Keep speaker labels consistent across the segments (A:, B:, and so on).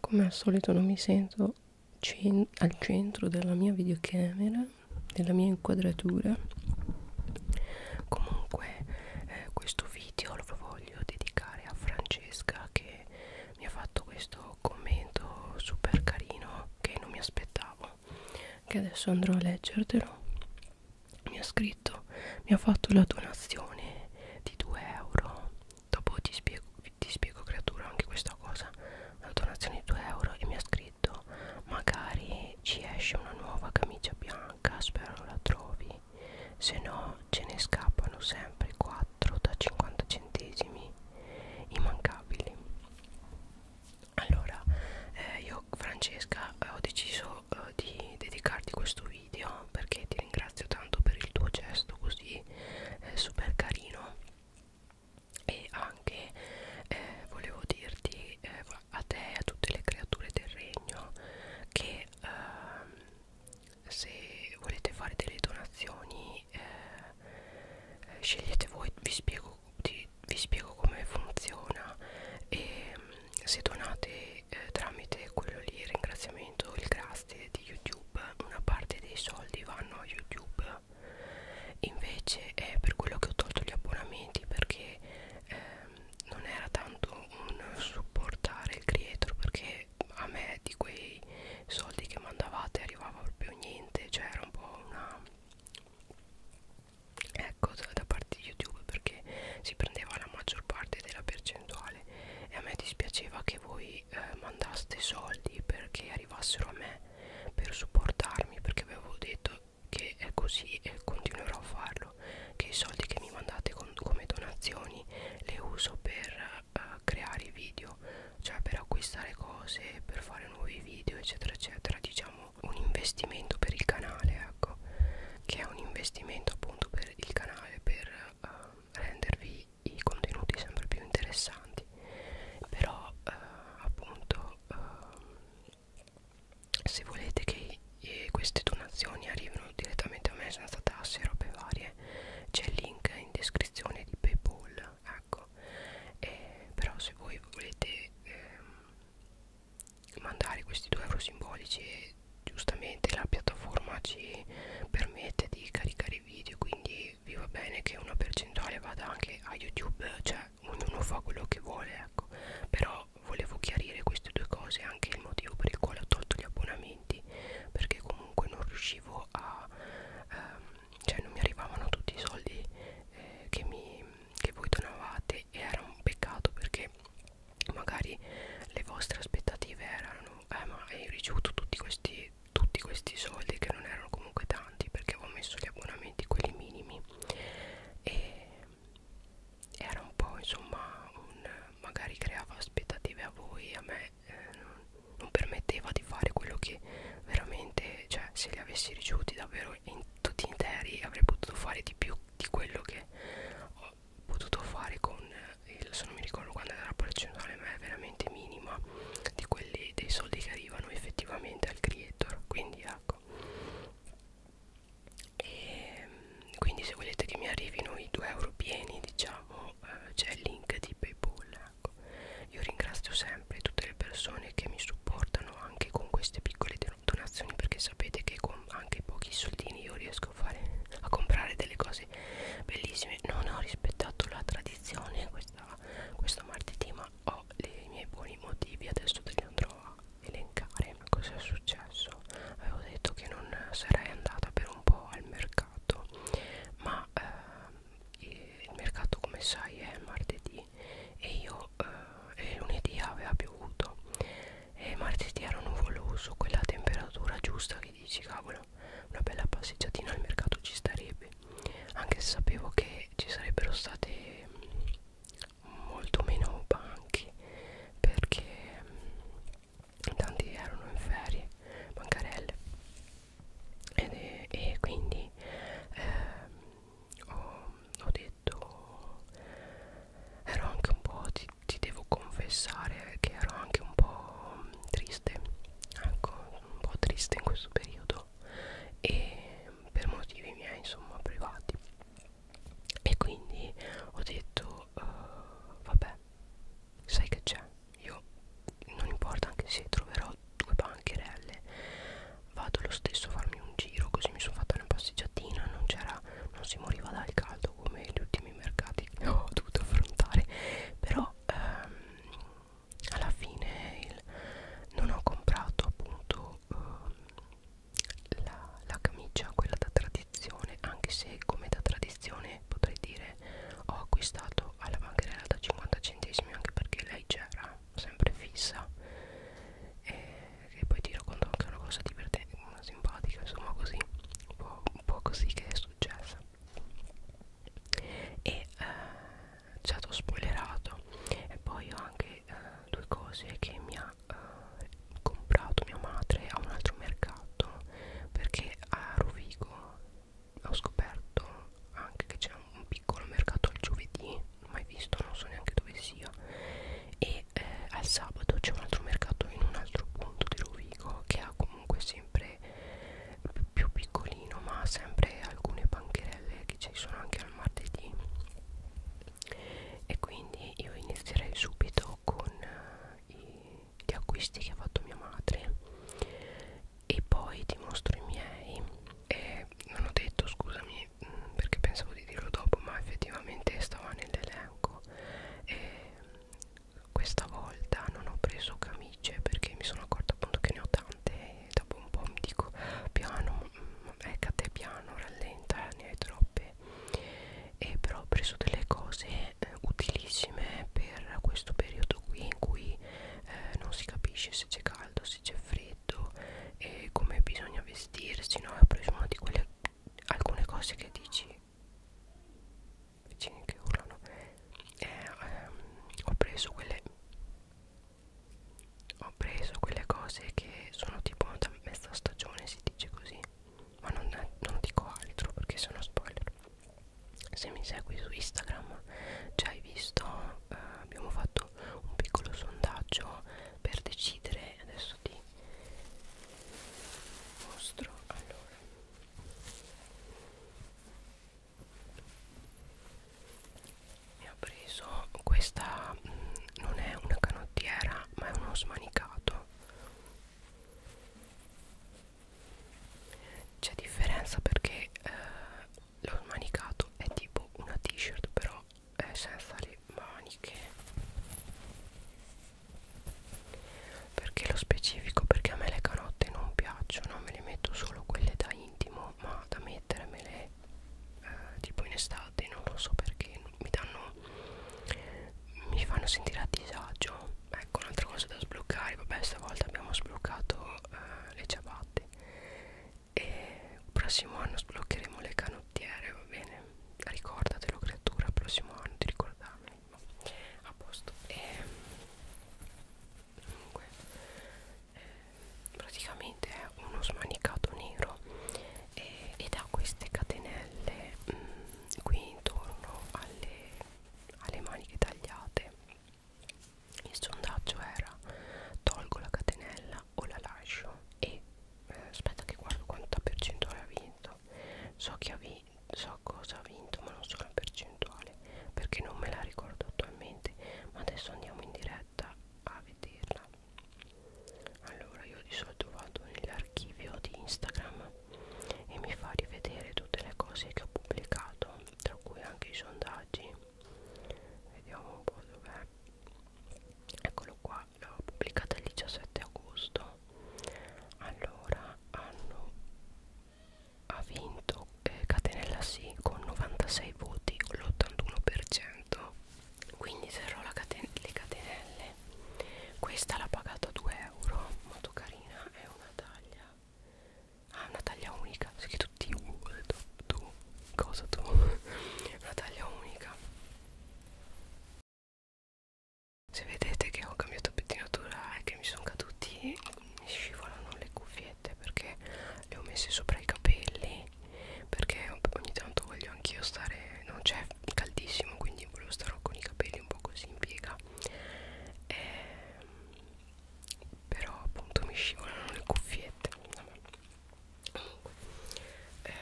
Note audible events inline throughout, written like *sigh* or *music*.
A: come al solito non mi sento cen al centro della mia videocamera della mia inquadratura comunque eh, questo video lo voglio dedicare a Francesca che mi ha fatto questo commento super carino che non mi aspettavo che adesso andrò a leggertelo mi ha scritto mi ha fatto la donazione di 2 euro dopo ti spiego, ti spiego creatura anche questa cosa una donazione di 2 euro e mi ha scritto magari ci esce una nuova camicia bianca spero la trovi se no ce ne scappano sempre 4 da 50 centesimi immancabili allora eh, io Francesca eh, ho deciso eh, di dedicarti questo video perché ti ringrazio tanto per il tuo gesto così eh, super carino e anche eh, volevo dirti eh, a te e a tutte le creature del regno che ehm, se volete fare delle donazioni eh, scegliete voi vi spiego, ti, vi spiego come funziona e se donate eh, tramite quello lì ringraziamento il grazie di youtube youtube una parte dei soldi vanno a youtube invece è per quello che ho tolto gli abbonamenti perché ehm, non era tanto un supportare il creator perché a me di quei soldi che mandavate arrivava proprio niente cioè era un po' una ecco da parte di youtube perché si prendeva la maggior parte della percentuale e a me dispiaceva che voi voi eh, mandaste soldi perché arrivassero a me per supportarmi perché avevo detto che è così e continuerò a farlo che i soldi che mi mandate con, come donazioni le uso per eh, creare video cioè per acquistare cose per fare nuovi video eccetera eccetera diciamo un investimento per il canale ecco che è un investimento appunto per il canale per eh, rendervi i, i contenuti sempre più interessanti però eh, appunto eh, se volete che eh, queste donazioni arrivino direttamente a me senza tasse e robe varie c'è il link in descrizione di paypal ecco eh, però se voi volete eh, mandare questi 2 euro simbolici e giustamente la piattaforma ci permette di caricare fare i video quindi vi va bene che una percentuale vada anche a youtube cioè ognuno fa quello che vuole ecco però volevo chiarire queste due cose anche il motivo per il quale ho tolto gli abbonamenti perché comunque non riuscivo a ehm, cioè non mi arrivavano tutti i soldi eh, che, mi, che voi donavate e era un peccato perché magari le vostre aspettative erano eh ma hai ricevuto tutti questi tutti questi soldi che non erano comunque tanti perché avevo messo gli abbonamenti quelli minimi e era un po' insomma un magari creava aspettative a voi a me eh, non, non permetteva di fare quello che veramente cioè se li avessi ricevuti davvero in tutti interi avrei potuto fare di più di quello che ho potuto fare con eh, adesso non mi ricordo quando era la percentuale ma è veramente minima di quelli dei soldi che arrivano effettivamente al creator quindi ecco e ehm, quindi se volete che mi arrivino i 2 euro pieni diciamo eh, c'è il link di paypal ecco. io ringrazio sempre tutte le persone che mi supportano anche con queste piccole donazioni perché sapete che con anche pochi soldini io riesco a fare a comprare delle cose cose bellissime non ho rispettato la tradizione questa, questo martedì ma ho i miei buoni motivi adesso te li andrò a elencare cosa è successo avevo detto che non sarei andata per un po' al mercato ma eh, il mercato come sai è martedì e io eh, e lunedì aveva piovuto e martedì era nuvoloso quella temperatura giusta che dici cavolo una bella passeggiatina al mercato ci starebbe anche se sapevo che ci sarebbero state mm, molto meno banche perché mm, tanti erano in ferie bancarelle Ed è, e quindi eh, ho, ho detto ero anche un po' ti, ti devo confessare che ero anche un po' mm, triste ecco sono un po' triste in questo periodo e per motivi miei insomma privati e quindi ho detto uh, vabbè sai che c'è io non importa anche se troverò due bancherelle vado lo stesso a farmi un giro così mi sono fatta una passeggiatina non c'era non si moriva dal caldo come gli ultimi mercati che ho dovuto affrontare però ehm, alla fine il, non ho comprato appunto ehm, la, la camicia quella da tradizione anche se come da tradizione potrei dire ho acquistato alla bancherella da 50 centesimi anche perché lei c'era sempre fissa e, e poi tiro conto anche una cosa divertente una simpatica insomma così un po', un po' così che è successa e eh, già t'ho spoilerato e poi ho anche eh, due cose che mi ha eh, comprato mia madre a un altro mercato perché a Rovigo ho scoperto anche che c'è un piccolo mercato il giovedì mai visto non so neanche dove sia e eh, al sabato c'è un altro mercato in un altro punto di Rovigo che ha comunque sì sempre più piccolino ma sempre alcune bancherelle che ci sono anche al martedì e quindi io inizierei subito con uh, i, gli acquisti che ha fatto mia madre e poi ti mostro i miei e non ho detto scusami mm, perché pensavo di dirlo dopo ma effettivamente stava nell'elenco e questa volta non ho preso camicie perché mi sono accorta appunto che ne ho tante e dopo un po' mi dico piano, mm, eccate piano, rallenta, ne hai troppe e però ho preso delle cose eh, utilissime per questo periodo qui in cui eh, non si capisce se c'è caldo, se c'è freddo e come bisogna vestirsi, no? Ho preso una di quelle alcune cose che dici vicini che urlano eh, ehm, ho preso quelle ho preso quelle cose che sono tipo da mezza stagione si dice così ma non, non dico altro perché sono spoiler se mi segui su Instagram già hai visto eh, abbiamo fatto un piccolo sondaggio per decidere adesso ti mostro allora e ho preso questa mh, mm, non è una canottiera ma è uno smanicato c'è differenza perché eh, lo smanicato è tipo una t-shirt però è senza le maniche perché lo specifico perché a me le canotte non piacciono me le metto solo quelle da intimo ma da mettermele eh, tipo in estate non lo so perché mi danno mi fanno sentire a disagio ecco un'altra cosa da sbloccare vabbè stavolta abbiamo sbloccato eh, le ciabatte e il prossimo anno sbloccheremo le canottiere va bene ricordatelo creatura il prossimo anno di ricordarmi no, a posto e comunque eh, praticamente è uno smanicato nero eh, ed ha queste catenelle mh, mm, qui intorno alle, alle maniche tagliate il sondaggio era tolgo la catenella o la lascio e eh, aspetta che guardo quanta percentuale ha vinto so che ha vinto so cosa ha vinto ma non so la percentuale perché non me la ricordo attualmente ma adesso andiamo in diretta a vederla allora io di solito vado nell'archivio di Instagram e mi fa rivedere tutte le cose che ho pubblicato tra cui anche i sondaggi vediamo un po' dov'è eccolo qua l'ho pubblicata il 17 agosto allora hanno ha vinto eh, Catenella sì con 96 voti l'81% quindi serrò la caten le catenelle questa l'ha pagata 2 euro molto carina è una taglia ah una taglia unica sì che tutti uh, tu, tu cosa tu *laughs* una taglia unica se vedete che ho cambiato pettinatura e che mi sono caduti mi scivolano le cuffiette perché le ho messe sopra i capelli perché ogni tanto voglio anch'io stare non c'è caldissimo quindi volevo stare con i capelli un po' così in piega e, ehm, però appunto mi scivolano le cuffiette comunque eh,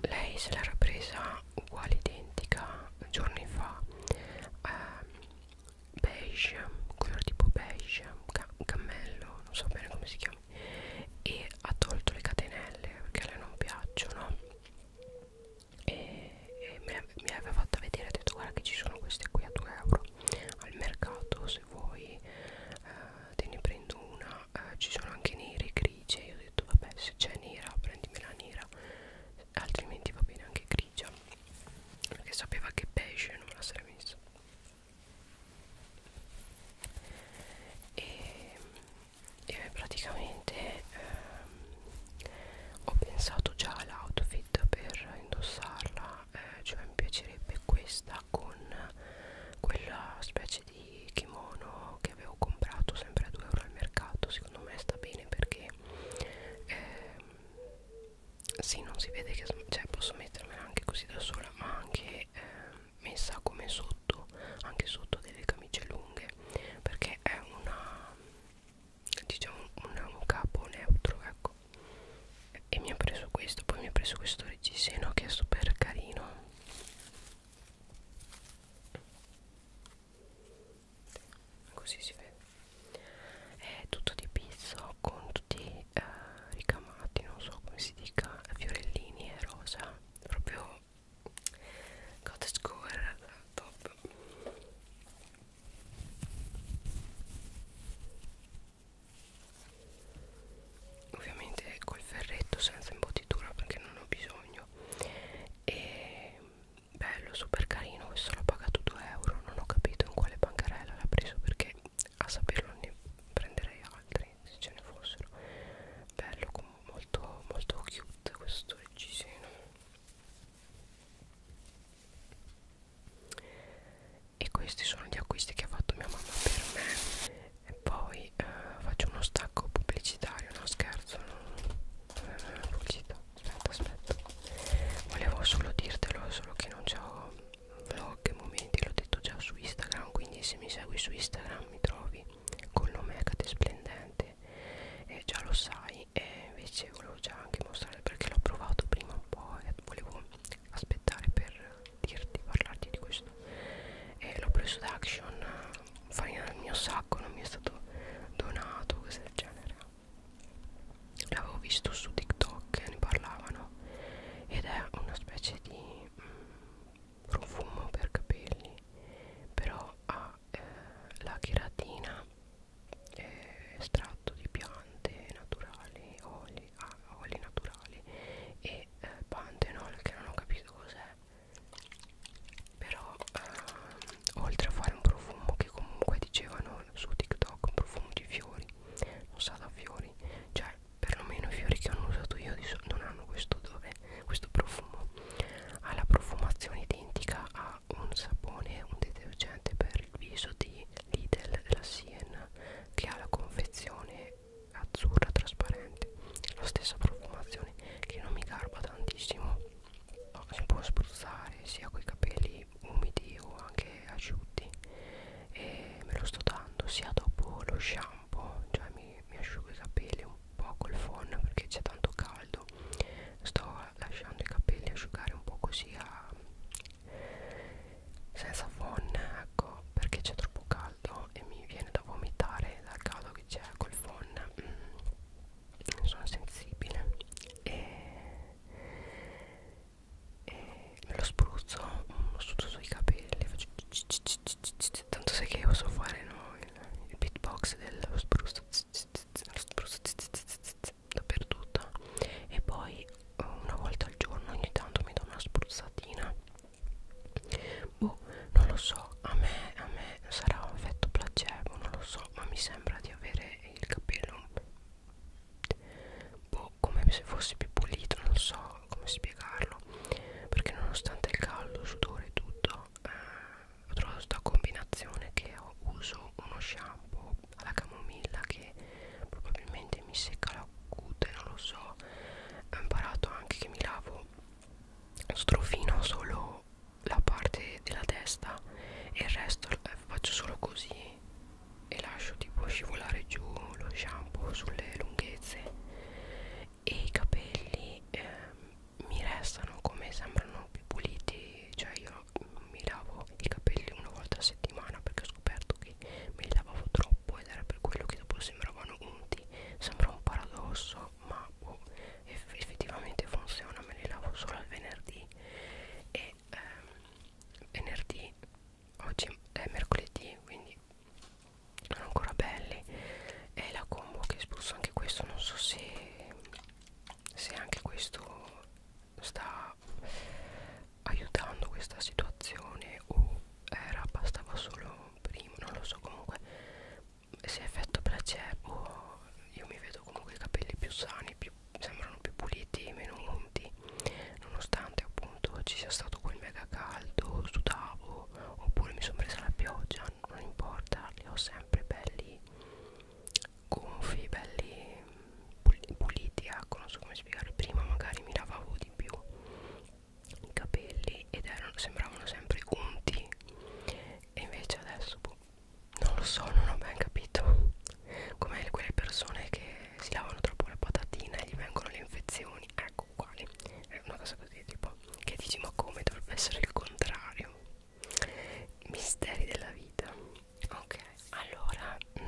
A: lei se l'era presa uguale identica giorni fa eh, beige color tipo beige ca cammello non so bene come si chiama e ha tolto le catenelle perché a lei non piacciono e, e me, me aveva fatta vedere ha detto guarda che ci sono queste qui a 2 euro al mercato se vuoi eh, te ne prendo una eh, ci sono anche nere e grigie io ho detto vabbè se c'è nera prendimi la nera altrimenti va bene anche grigia perché sapeva che beige non me la sarei messa e, e praticamente ehm, ho pensato già all'outfit per indossarla eh, cioè mi piacerebbe questa con quella specie di kimono che avevo comprato sempre a 2 euro al mercato secondo me sta bene perché eh, sì non si vede che cioè, posso mettermela anche così da sola ma anche eh, messa come sotto anche sotto delle camicie lunghe perché è una diciamo una, un capo neutro ecco e mi ha preso questo poi mi ha preso questo reggiseno che è super carino così si vede è tutto di pizzo con tutti eh, ricamati non so come si dica fiorellini e rosa proprio God score top ovviamente col ferretto senza imbottitura perché non ho bisogno e bello super carino questo l'ho pagato 2 euro non ho capito in quale bancarella l'ha preso perché a saperlo ne prenderei altri se ce ne fossero bello molto molto cute questo reggiseno e questi sono gli acquisti che ha fatto mia mamma per me e poi eh, faccio uno stacco pubblicitario no scherzo non, non è una pubblicità aspetta aspetta volevo solo dirtelo solo che non c'ho vlog e momenti l'ho detto già su instagram quindi se mi segui su instagram mi trovi con nome Hecate Splendente eh, già lo sai e invece volevo già anche mostrare perché l'ho provato prima un po' e volevo aspettare per dirti, parlarti di questo eh, l'ho preso da Action farina del mio sacco non mi è stato donato cose del genere l'avevo visto su tiktok ne parlavano ed è una specie di mh, mm, profumo per capelli però ha eh, la cheratina eh, estratto di piante naturali oli, ah, oli naturali e eh, pantenol che non ho capito cos'è però ehm, oltre a fare un profumo che comunque dicevano su TikTok un profumo di fiori non sa da fiori cioè perlomeno i fiori che hanno usato io di non hanno questo odore questo profumo ha la profumazione identica a un sapone un detergente per il viso di Lidl della Sien che ha la confezione azzurra trasparente la stessa profumazione che non mi garba tantissimo si può spruzzare sia con i capelli umidi o anche asciutti e me lo sto dando sia dopo lo shampoo cioè mi, mi asciugo i capelli un po' col phon perché c'è tanto caldo sto lasciando i capelli asciugare un po' così a, senza phon ecco perché c'è troppo caldo e mi viene da vomitare dal caldo che c'è col phon mm non sono sensibile e, e me lo spruzzo su sui capelli faccio tanto sai che io so fare no? il, il beatbox dello spruzzo lo spruzzo dappertutto e poi una volta al giorno ogni tanto mi do una spruzzatina boh non lo so a me, a me sarà un effetto placebo non lo so so ma mi sembra di avere il capello boh come se fosse più pulito non so come spiegarlo perché nonostante il caldo il sudore e tutto eh, ho trovato questa combinazione che ho, uso uno shampoo alla camomilla che probabilmente mi secca la cute non lo so ho imparato anche che mi lavo strofino solo la parte della testa e il resto eh, faccio solo così e lascio tipo scivolare giù lo shampoo sulle lunghezze e i capelli eh, mi restano come sembrano più puliti cioè io mi lavo i capelli una volta a settimana perché ho scoperto che me li lavavo troppo ed era per quello che dopo sembravano unti sembra un paradosso ma boh, eff effettivamente funziona me le lavo solo il venerdì e ehm, venerdì oggi è mercoledì quindi sono ancora belli è la combo che espulso anche questo non so se se anche questo sta aiutando questa situazione o era bastava solo prima non lo so comunque se effetto placebo io mi vedo comunque i capelli più sani più, sembrano più puliti meno unti nonostante appunto ci sia stato quel mega caldo sudavo oppure mi sono presa la pioggia non importa li ho sempre belli gonfi belli puliti ecco non so come spiegare prima magari mi lavavo di più i capelli ed erano, sembravano sempre unti e invece adesso boh, non lo so, non ho ben capito come quelle persone che si lavano troppo la patatina e gli vengono le infezioni ecco uguali è una cosa così tipo che dici ma come dovrebbe essere il contrario misteri della vita ok allora mh,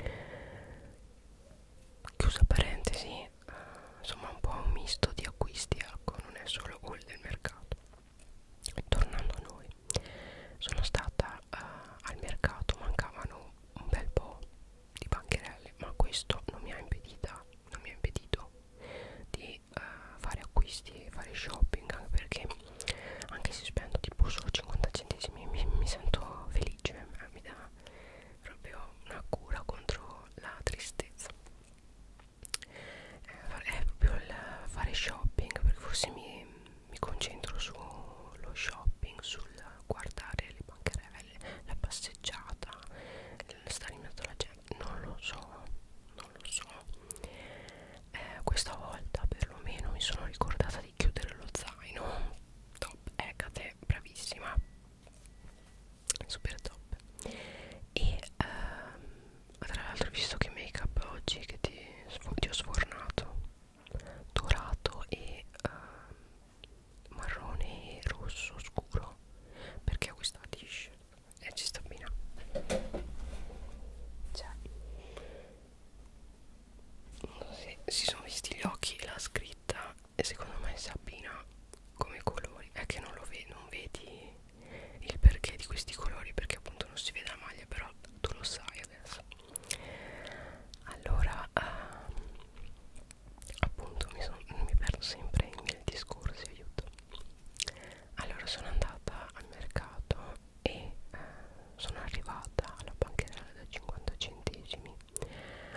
A: mm, chiusa parentesi uh, insomma un po' un misto di acquisti ecco non è solo quello del mercato mercato tornando a noi sono stata uh, al mercato mancavano un bel po' di bancherelle ma questo non mi ha impedita non mi ha impedito di uh, fare acquisti e fare shopping anche perché anche se spendo tipo solo 50 centesimi mi, mi sento felice eh, mi dà proprio una cura contro la tristezza eh, è proprio il fare shopping perché forse mi, mi concentro sullo shopping sul guardare le bancarelle la passeggiata stare in mezzo alla gente non lo so non lo so eh, questa volta perlomeno mi sono ricordata di chiudere lo zaino top ecate bravissima super top e ehm, tra l'altro visto che make up oggi che ti, ti ho sfornato dorato e ehm, marrone e rosso scuro perché ho questa tish e eh, ci sta bene cioè non so se si sono visti gli occhi e la scritta e secondo me si abbina come colori è che non lo vedi non vedi il perché di questi colori perché appunto non si vede la maglia però tu lo sai adesso allora uh, appunto mi, son, mi perdo sempre i miei discorsi aiuto allora sono andata al mercato e uh, sono arrivata alla bancherella da 50 centesimi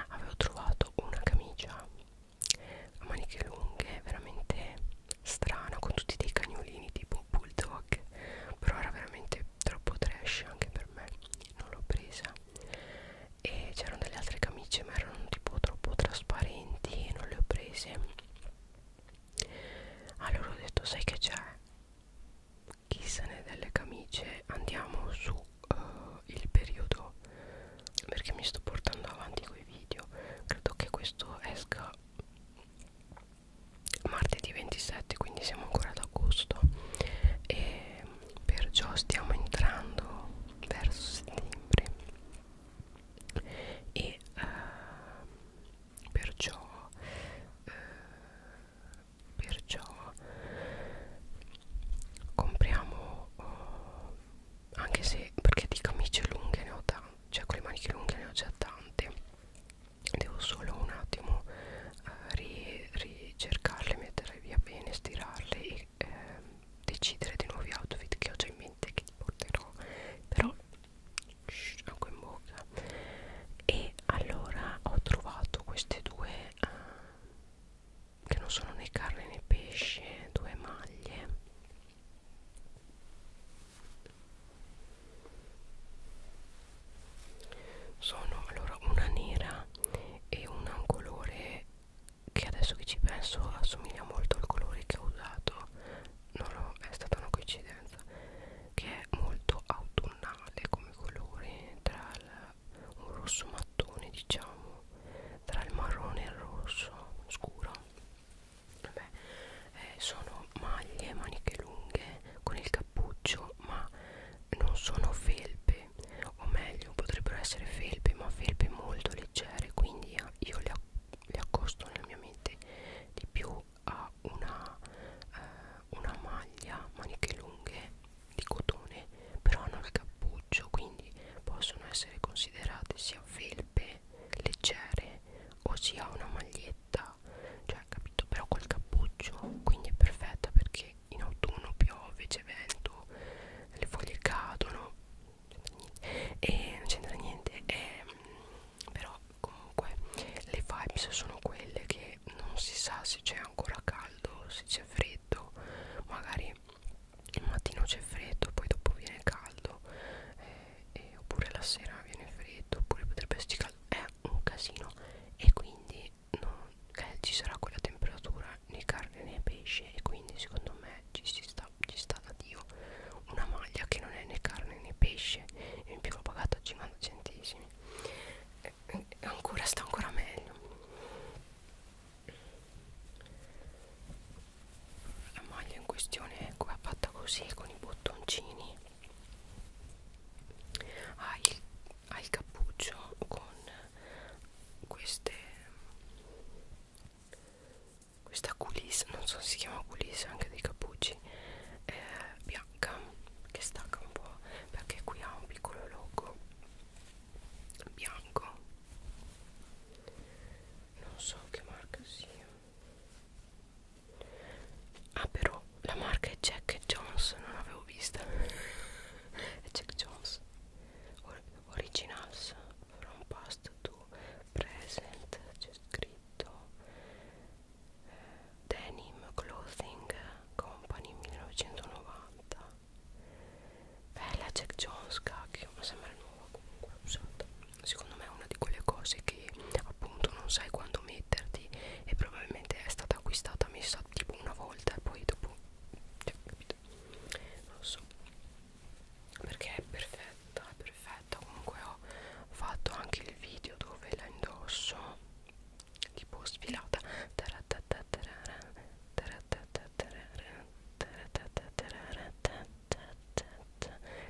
A: avevo trovato una camicia a maniche lunghe veramente strana con tutti dei cagnolini tipo bulldog però era veramente troppo trash anche per me non l'ho presa e c'erano delle altre camicie ma erano tipo troppo trasparenti e non le ho prese allora ho detto sai che c'è chi se ne delle camicie andiamo su uh, il periodo perché mi sto portando avanti coi video credo che questo esca martedì 27 quindi siamo ancora ad agosto e perciò stiamo entrando verso settembre e uh, eh, perciò uh, eh, perciò compriamo uh, anche se perché di camicie lunghe ne ho tante cioè con le maniche lunghe ne ho già tante devo solo un attimo eh, ricercarle mettere via bene stirarle e eh, decidere dei nuovi outfit che ho già in mente che ti porterò però shh, anche in bocca e allora ho trovato queste due eh, che non sono né carne né pesce due maglie sono allora una nera e una un colore che adesso che ci penso assomiglia molto al colore che ho usato non ho, è stata una coincidenza che è molto autunnale come colore tra il, un rosso mattone diciamo tra il marrone e il rosso scuro Vabbè, eh, sono maglie, maniche lunghe con il cappuccio, ma non sono felpe, o meglio, potrebbero essere felpe, ma felpe molto leggere, quindi ah, io le, le accosto nella mia mente di più a una, eh, una maglia, maniche lunghe di cotone, però hanno il cappuccio, quindi possono essere considerate sia felpe leggere o si ha una maglietta cioè capito però col cappuccio quindi è perfetta perché in autunno piove c'è vento le foglie cadono e non c'entra niente e, mm, però comunque le vibes sono quelle che non si sa se c'è ancora caldo se c'è freddo magari il mattino c'è freddo poi dopo viene caldo eh, eh, oppure la sera viene freddo oppure potrebbe esserci caldo è un casino e quindi non, eh, ci sarà quella temperatura né carne né pesce e quindi secondo me ci, si sta, ci sta da dio una maglia che non è né carne né pesce e in più l'ho pagata a 50 centesimi eh, eh, ancora sta ancora meglio la maglia in questione ecco, è fatta così con i bottoncini ha il, ha il cappuccio con queste questa culisse non so se si chiama culisse anche dei cappucci eh, bianca che stacca un po' perché qui ha un piccolo logo bianco non so che marca sia ah però la marca è Jack Jones non avevo vista *laughs* è Jack Jones Or originals from past to present c'è scritto eh, Denim Clothing Company 1990 bella Jack Jones cacchio ma sembra nuova comunque usata secondo me è una di quelle cose che appunto non sai quando metterti e probabilmente è stata acquistata messa tipo una volta e poi dopo cioè, capito non lo so perché è perfetta è perfetta comunque ho fatto anche il video dove la indosso tipo sfilata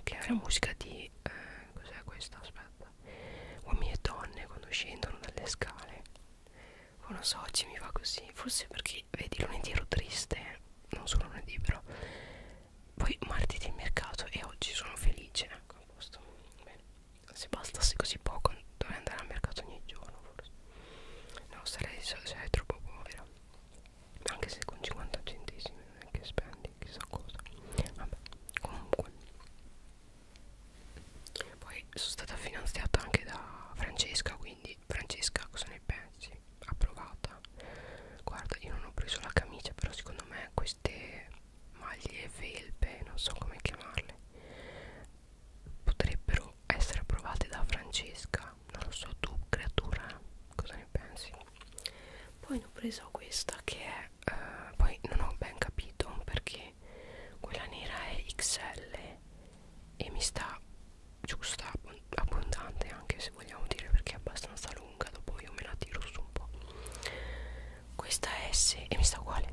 A: che è una musica di eh, cos'è questa aspetta uomini e donne quando scendono dalle scale oh, non lo so oggi mi va così forse perché vedi lunedì ero triste non solo lunedì però poi martedì il mercato e oggi sono felice ecco a posto Bene. se bastasse così poco dovrei andare al mercato ogni giorno forse no sarei, sarei troppo povera anche se con 50 centesimi non è che spendi chissà cosa vabbè comunque poi sono stata finanziata anche da Francesca quindi Francesca cosa ne pensi? approvata guarda io non ho preso la camicia però secondo me queste maglie felpe non so come chiamarle potrebbero essere approvate da Francesca non lo so tu creatura cosa ne pensi poi ne ho preso questa che è eh, poi non ho ben capito perché quella nera è XL e mi sta giusta abbondante anche se vogliamo dire perché è abbastanza lunga dopo io me la tiro su un po' questa è S e mi sta uguale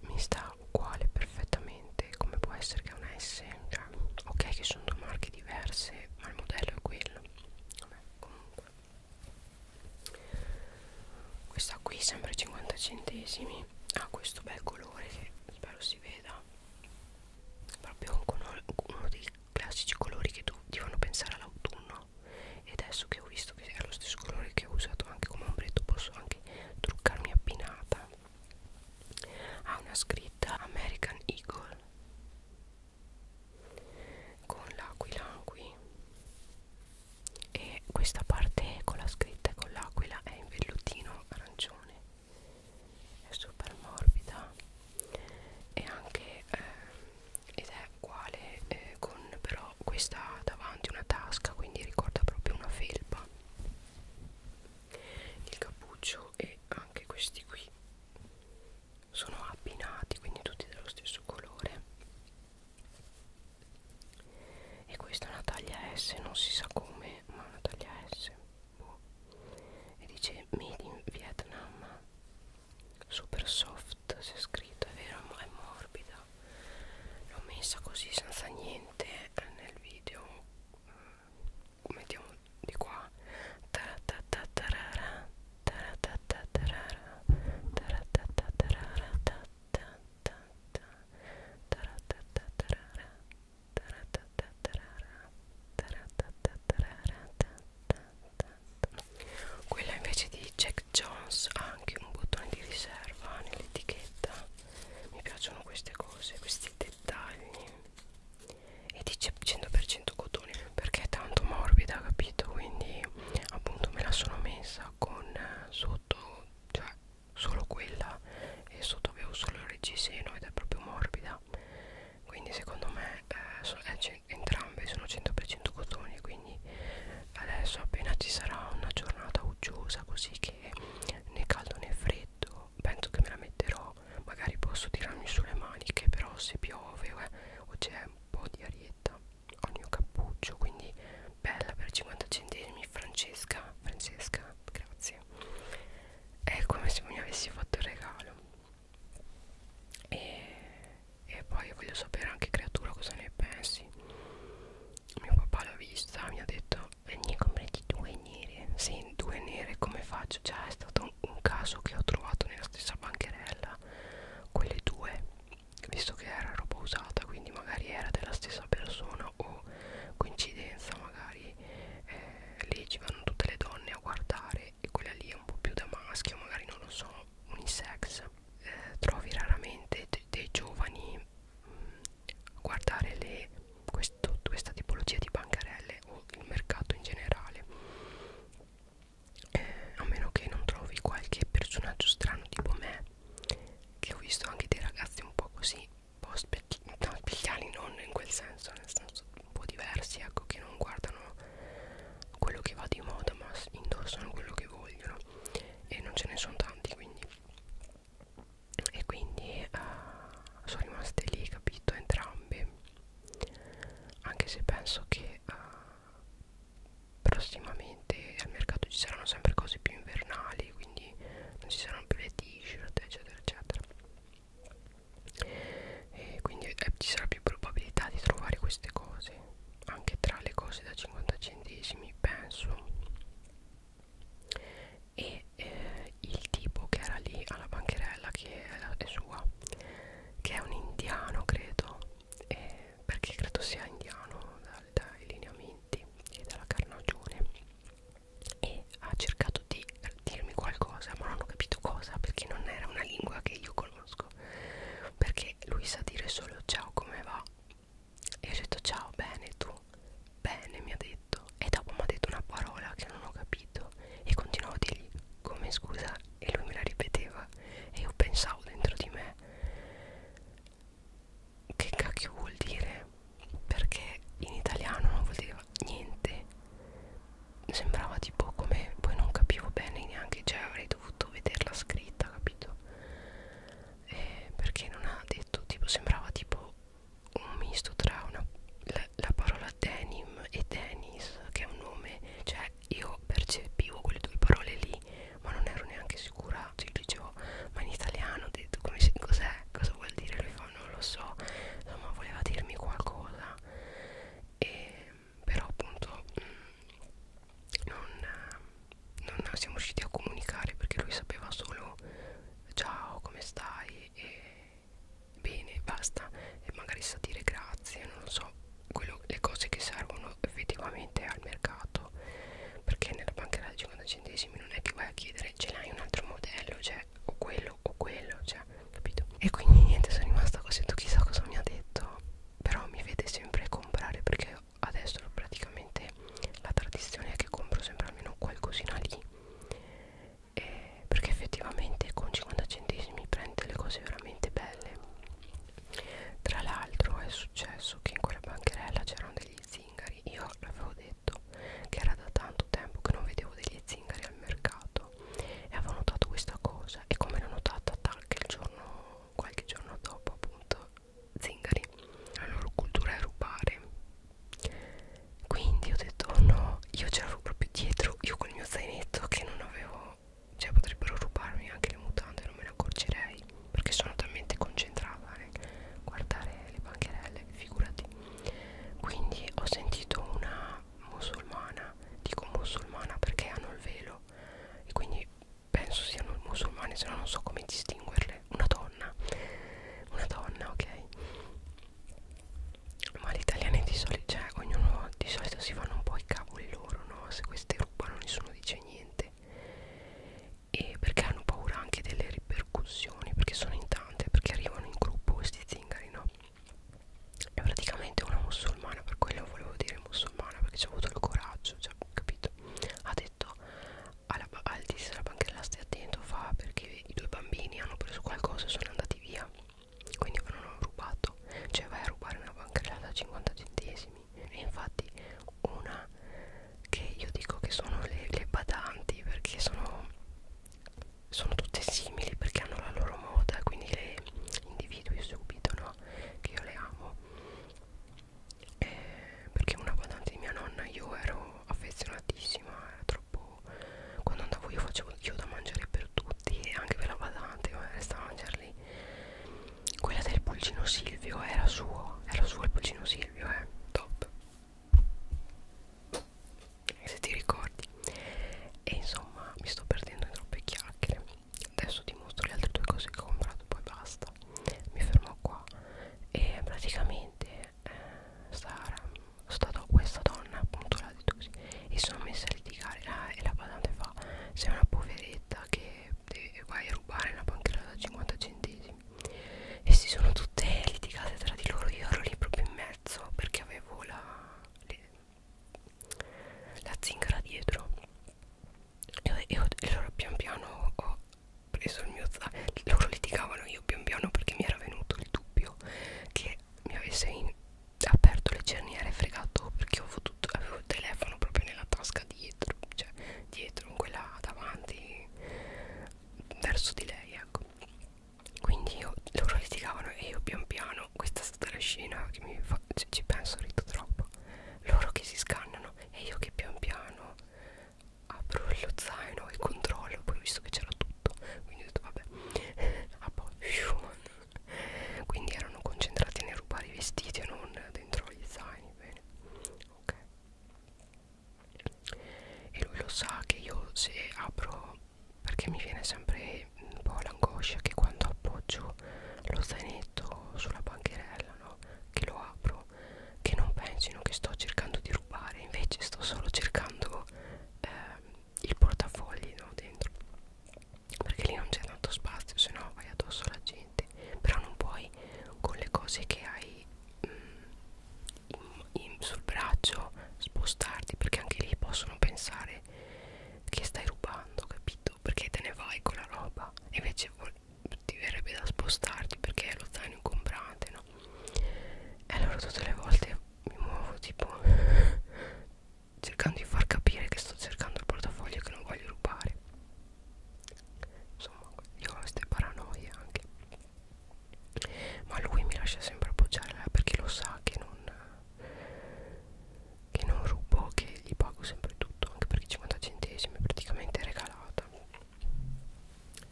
A: mi sta uguale perfettamente come può essere che è una S cioè ok che sono due marchi diverse ma il modello è quello Vabbè, comunque questa qui sembra 50 centesimi ha questo bel colore che spero si veda proprio uno, uno dei classici colori che tu, ti fanno pensare all'autunno e adesso che ho visto che è lo stesso colore che ho usato anche come ombretto posso anche truccarmi abbinata ha una scritta American Eagle con l'aquila qui e questa parte con la scritta e con l'aquila è in vellutino arancione è super morbida e anche eh, ed è uguale eh, con però questa davanti una tasca quindi ricorda proprio una felpa il cappuccio e anche questi qui sono abbinati quindi tutti dello stesso colore e questa è una taglia S non si sa come ma è una taglia S boh. e dice made in Vietnam super soft si è scritto è vero è morbida l'ho messa così senza niente nel video mettiamo di qua quella invece di Jack Jones ha anche un bottone di riserva nell'etichetta mi piacciono queste cose questi dettagli e dice 100% cotone perché è tanto morbida capito quindi appunto me la sono messa con eh, sotto cioè solo quella e sotto avevo solo il reggiseno ed è proprio morbida quindi secondo me eh, so, eh, entrambe sono 100% cotone quindi adesso appena ci sarà una giornata uggiosa così che né caldo né freddo penso che me la metterò magari posso tirarmi sulle maniche però se piove eh, o c'è un po' di arietta ho il mio cappuccio quindi bella per 50 centesimi Francesca Francesca grazie è come se mi avessi fatto il regalo e, e poi voglio sapere anche creatura cosa ne pensi mio papà l'ha vista mi ha detto e ne comprati due nere sì due nere come faccio già cioè, è stato un caso che ho trovato nella stessa bancherella quelle due visto che era roba usata quindi magari era della stessa persona o coincidenza magari eh, lì ci vanno tutte le donne a guardare e quella lì è un po' più da maschio magari non lo so unisex eh, trovi raramente dei giovani mh, mm, a guardare le questo, questa tipologia di bancarelle o il mercato in generale eh, a meno che non trovi qualche personaggio strano tipo me che ho visto anche dei ragazzi un po' così un po' specchiali no, non in quel senso nel senso un po' diversi ecco che non guardano quello che va di moda ma indossano quello che vogliono e non ce ne sono tanti quindi e quindi uh, sono rimaste lì capito entrambe anche se penso che uh, prossimamente al mercato ci saranno sempre cose più invernali quindi non ci saranno più le t-shirt eccetera eccetera e quindi eh, ci sarà più probabilità di trovare queste cose anche tra le cose da 50 centesimi penso e eh, il tipo che era lì alla bancherella che è sua che è un indiano credo eh, perché credo sia indiano dal, dai lineamenti e dalla carnagione e ha cercato di dirmi qualcosa ma non ho capito cosa perché non era una lingua che io conosco perché lui sa dire solo ciao come va e ho detto ciao bene tu bene mi ha detto e dopo mi ha detto una parola che non ho capito e continuavo a dirgli come scusa e lui me la ripeteva e io pensavo dentro di me che cacchio vuol dire perché in italiano non vuol dire niente sembrava tipo come poi non capivo bene neanche cioè avrei dovuto vederla scritta capito eh, perché non ha detto tipo sembrava tipo un misto tra una, la, la parola denim e tennis che è un nome cioè io percepivo quelle due parole lì ma non ero neanche sicura cioè dicevo ma in italiano ho detto come si cos'è cosa vuol dire lui fa non lo so insomma voleva dirmi qualcosa e però appunto mm, non, non siamo riusciti a comunicare perché lui sapeva solo ciao come stai e bene basta e magari sa dire grazie non lo so quello, le cose che servono effettivamente al mercato perché nella banca da 50 centesimi non è che vai a chiedere ce l'hai un altro modello cioè o quello o quello cioè capito e quindi niente sono rimasta così tu chissà cosa mi ha detto però mi vede sempre comprare perché adesso praticamente la tradizione è che compro sempre almeno qualcosina lì eh, perché effettivamente con 50 centesimi prende le cose veramente belle tra l'altro è successo che in quella bancherella c'erano degli zingari io l'avevo detto che era da tanto tempo che non vedevo degli zingari al mercato e avevo notato questa cosa e come l'ho notata anche il giorno qualche giorno dopo appunto zingari la loro cultura è rubare quindi ho detto oh no io ce l'avevo proprio dietro io con il mio zainetto che non avevo cioè potrebbero rubarmi anche le mutande non me ne accorgerei perché sono talmente concentrata nel eh, guardare le bancherelle figurati quindi ho sentito una musulmana dico musulmana perché hanno il velo e quindi penso siano musulmane se no non so come distinguerle una donna una donna ok ma gli italiani di solito cioè ognuno di solito si fanno un po' i cavoli loro no se queste rubano nessuno dice niente e perché hanno paura anche delle ripercussioni perché sono in tante perché arrivano in gruppo questi zingari no è praticamente una musulmana per quello volevo dire musulmana perché ci ha avuto il coraggio cioè, capito ha detto alla, al dis della banchella stai attento fa perché i due bambini hanno preso qualcosa e sono andati via quindi me l'hanno rubato cioè vai a rubare una bancarella da 50 centesimi e infatti una che io dico che sono le, le badanti perché sono sono tutte simili perché hanno la loro moda quindi le individui subito no che io le amo eh, perché una badante di mia nonna io ero affezionatissima era troppo quando andavo io facevo io da mangiare per tutti e anche per la badante ma resta a mangiarli quella del pulcino Silvio era suo era suo il pulcino Silvio eh top se ti ricordi e insomma mi sto perdendo in troppe chiacchiere adesso ti mostro le altre due cose che ho comprato poi basta mi fermo qua e praticamente eh, Sara stato questa donna appunto l'ha detto così e sono messa a litigare la, e la badante fa sei una poveretta che deve, vai a rubare una banchera da 50 centesimi e si sono tutte litigate tra di loro io ero lì proprio in mezzo perché avevo la le, la zingara dietro e, ho, e, ho, e allora pian piano ho preso il mio zaino loro litigavano io pian piano perché mi era venuto il dubbio che mi avesse in, aperto le cerniere e fregato perché avevo, tutto, avevo il telefono proprio nella tasca dietro, cioè dietro, in quella davanti, verso di lei, ecco. Quindi io, loro litigavano e io pian piano, questa è stata la scena che mi fa, ci, ci penso, rido troppo. Loro che si scannano e io che pian piano apro lo zaino e controllo, poi ho visto che c'era tutto, quindi ho detto vabbè, ah, *laughs* poi, *laughs* quindi erano concentrati nel rubare i vestiti e non dentro gli zaini bene ok e lui lo sa che io se apro perché mi viene sempre un po' l'angoscia che quando appoggio lo zainetto sulla bancherella no? che lo apro che non pensino che sto cercando di rubare invece sto solo cercando eh, il portafogli no, dentro perché lì non c'è tanto spazio se no vai addosso alla gente però non puoi con le cose che hai mh, mm, in, in, sul braccio spostarti perché anche lì possono pensare che stai rubando capito perché te ne vai con la roba e invece ti verrebbe da spostarti perché è lo zaino incomprante no e allora tutte le volte mi muovo tipo cercando di far capire che sto cercando il portafoglio che non voglio rubare insomma io ho queste paranoie anche ma lui mi lascia sempre appoggiarla perché lo sa che non che non rubo che gli pago sempre tutto anche perché 50 centesimi è praticamente regalata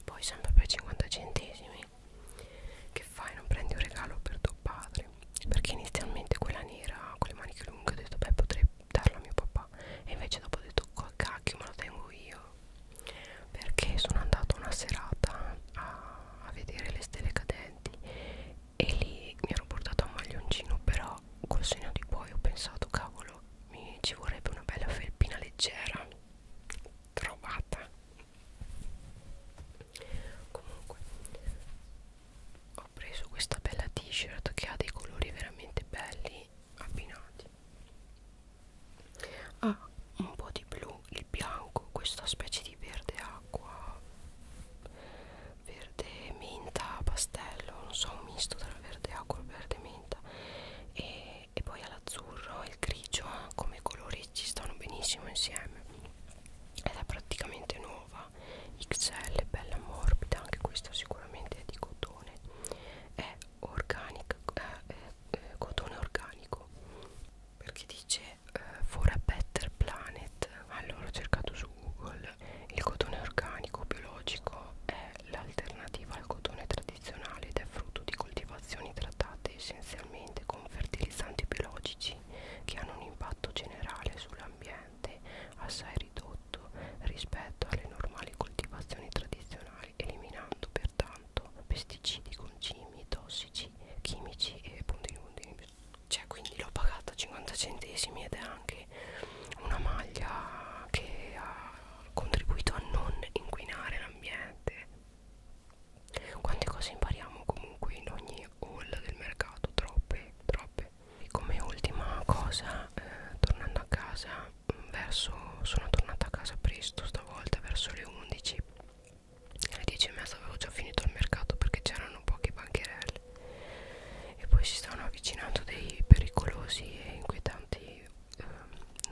A: poi sempre per 50 centesimi che fai non prendi un regalo per tuo padre perché inizialmente quella nera con le maniche lunghe ho detto beh potrei darla a mio papà e invece dopo ho detto cacchio me la tengo io perché sono andato una serata a, a vedere le stelle cadenti e lì mi ero portato un maglioncino però col segno di poi ho pensato cavolo mi ci vorrebbe una bella felpina leggera trovata comunque ho preso questa bella t-shirt che ha dei colori veramente belli abbinati ha ah, un po' di blu, il bianco, questa specie di verde acqua verde menta pastello, non so, un misto tra verde acqua e verde menta e, e poi all'azzurro e il grigio come colori ci stanno benissimo insieme ed è praticamente nuova XL, bella morbida, anche questa sicuramente è di cotone è organic, eh, eh, cotone organico perché dice eh, for a better planet allora ho cercato su Google il cotone organico biologico è l'alternativa al cotone tradizionale ed è frutto di coltivazioni trattate essenzialmente con fertilizzanti biologici tossici che hanno un impatto generale sull'ambiente assai ridotto rispetto alle normali coltivazioni tradizionali, eliminando pertanto pesticidi, concimi, tossici, chimici e puntini puntini. Cioè quindi l'ho pagata 50 centesimi ed è anche una maglia che ha contribuito a non inquinare l'ambiente quante cose impariamo comunque in ogni haul del mercato, troppe, troppe. E come ultima cosa, eh, tornando a casa, mm, verso, sono tornata a casa presto stavolta, verso le 11. Alle 10 e mezza avevo già finito il mercato perché c'erano poche bancherelle. E poi si stavano avvicinando dei pericolosi e inquietanti eh,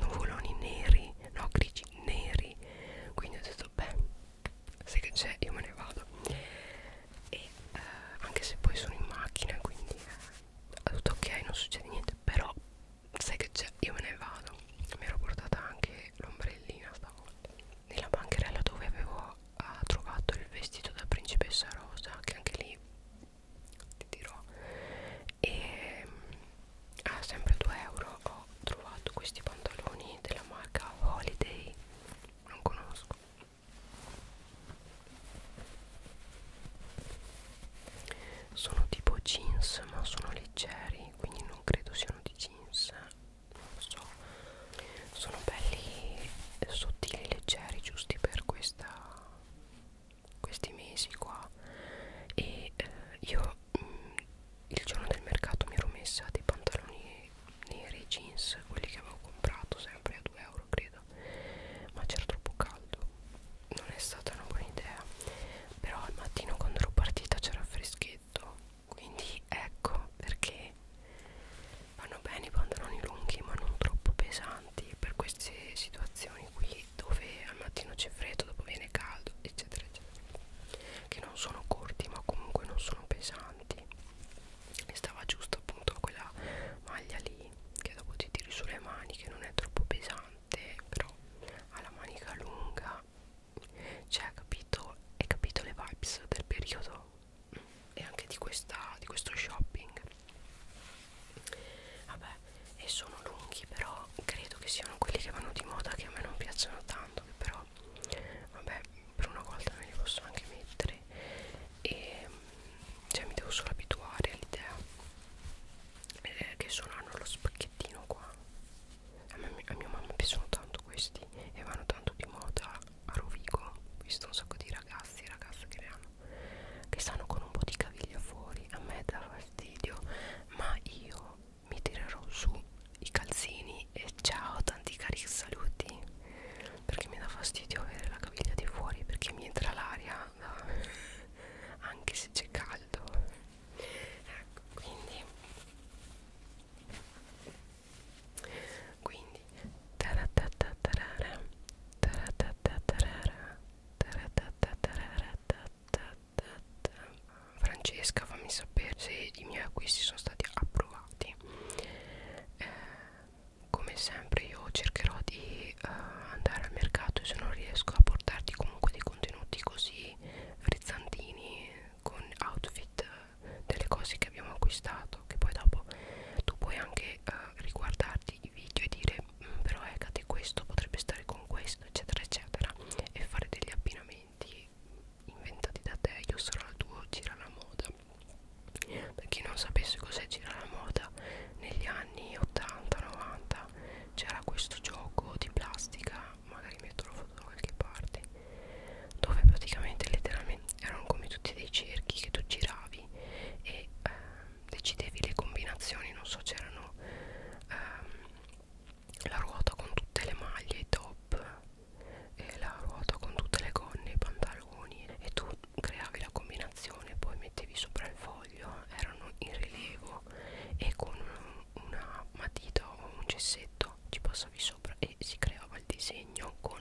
A: nuvoloni neri, no grigi neri. Quindi ho detto, beh, se che c'è io me ne vado e eh, anche se poi sono in macchina quindi eh, tutto ok non succede niente però sai che c'è io me ne vado mi ero portata anche l'ombrellina stavolta nella bancherella dove avevo eh, trovato il vestito da principessa rosa che anche lì ti dirò e ehm, a ah, sempre 2 euro ho ho trovato questi pantaloni della marca Holiday non conosco sono tipo jeans ma sono leggeri quindi non credo siano di jeans non so sono belli sottili leggeri giusti per questa questi mesi qua e eh, io io mm, mh, il giorno del mercato mi ero messa dei pantaloni neri jeans quelli che avevo comprato sempre a 2 euro credo ma c'era troppo caldo non è stata una buona idea però al mattino quando ero partita c'era freschetto quindi ecco perché vanno bene i pantaloni lunghi ma non troppo pesanti per queste situazioni qui dove al mattino c'è freddo dopo viene caldo eccetera eccetera che non sono corti ma comunque non sono pesanti e stava giusto appunto quella maglia lì che dopo ti tiri sulle maniche non è troppo pesante però ha la manica lunga cioè ha capito hai capito le vibes del periodo e anche di, questa, di questo shopping vabbè e sono lunghi però credo che siano quelli che vanno di moda che a me non piacciono tanto che però qua vabbè per una volta me li posso anche mettere e cioè mi devo solo abituare all'idea eh, che sono hanno lo spacchettino qua a, me, a mia mamma piacciono tanto questi e vanno tanto di moda a Rovigo ho visto un sacco di ragazzi e ragazze che ne hanno che stanno con un po' di caviglia fuori a me dà fastidio ma io mi tirerò su i calzini e ciao tanti cari saluti perché mi dà fastidio avere la caviglia di fuori perché mi entra l'aria *laughs* anche se c'è caldo ecco quindi quindi Francesca fammi sapere se i miei acquisti sono stati approvati eh, come sempre io cercherò di eh, andare al mercato e se non riesco a portarti comunque dei contenuti così frizzantini con outfit eh, delle cose che abbiamo acquistato che poi dopo tu puoi anche eh, riguardarti i video e dire mm, però Egate eh, questo potrebbe stare con questo eccetera eccetera e fare degli abbinamenti inventati da te io sarò il tuo gira la moda per chi non sapesse cos'è gira la moda negli anni 80 90 c'era questo gioco di plastica magari metto la foto da qualche parte dove praticamente letteralmente erano come tutti dei cerchi che tu giravi e eh, decidevi le combinazioni non so c'erano ehm, la ruota con tutte le maglie, i top e la ruota con tutte le gonne, i pantaloni e tu creavi la combinazione poi mettevi sopra il foglio erano in rilievo e con una matita o un cessetto ci passavi sopra e si creava il disegno con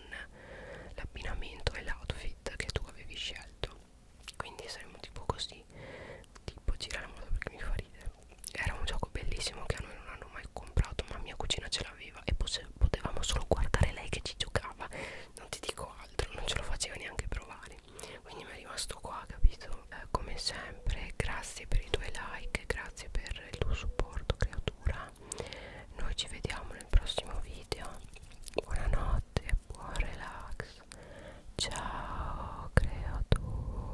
A: l'abbinamento e l'outfit che tu avevi scelto quindi saremmo tipo così tipo girare la moda perché mi fa ridere era un gioco bellissimo che a noi non hanno mai comprato ma mia cugina ce l'aveva e potevamo solo guardare lei che ci giocava non ti dico altro non ce lo faceva neanche provare quindi mi è rimasto qua capito eh, come sempre grazie per i tuoi like grazie per il tuo supporto creatura noi ci vediamo nel prossimo video buonanotte e buon relax ciao creatura